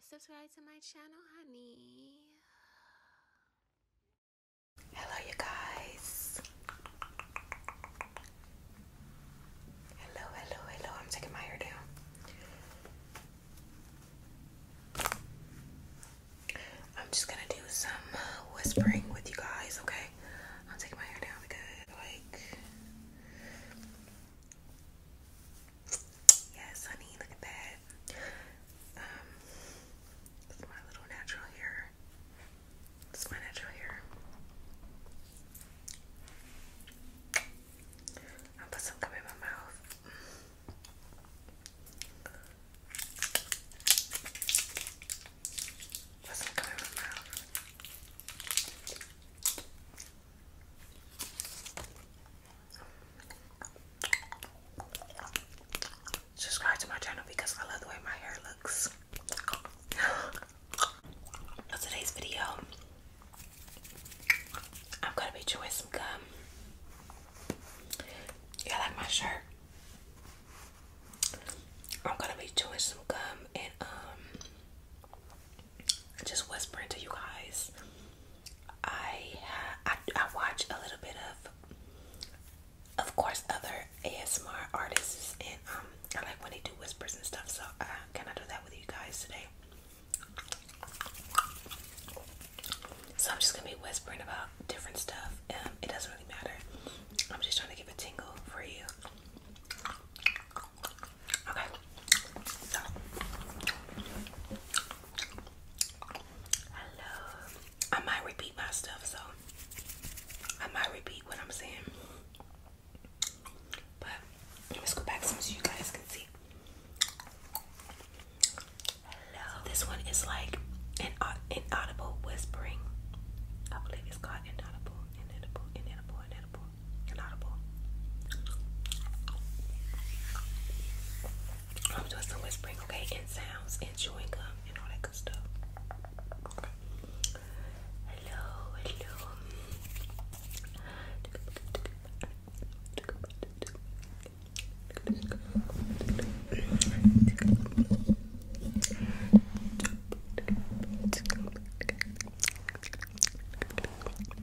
subscribe to my channel, honey. Hello, you guys. Hello, hello, hello. I'm taking my hair down. I'm just gonna do some whispering with you guys, okay? I'm taking my hair down because, like, Yes, honey, look at that. Um, my little natural hair. It's my natural hair. I'll put some gum in my mouth. Put some gum in my mouth. Subscribe to my channel because I love the way my hair looks. For today's video, I'm gonna be chewing some gum. Yeah, like my shirt. I'm gonna be chewing some gum and um just whispering to you guys. I, I watch a little bit of, of course, other ASMR artists, and um, I like when they do whispers and stuff. So, uh, can I do that with you guys today? So I'm just gonna be whispering about different stuff. Um, it doesn't really matter. I'm just trying to give a tingle for you. Okay, so I might repeat my stuff, so I might repeat what I'm saying. But let's go back so you guys can see. Hello. this one is like an inaud inaudible whispering. I believe it's called inaudible, inaudible, inaudible, inaudible, audible. Inaudible. I'm doing some whispering, okay, and sounds and chewing gum and all that good stuff. Hello, hello.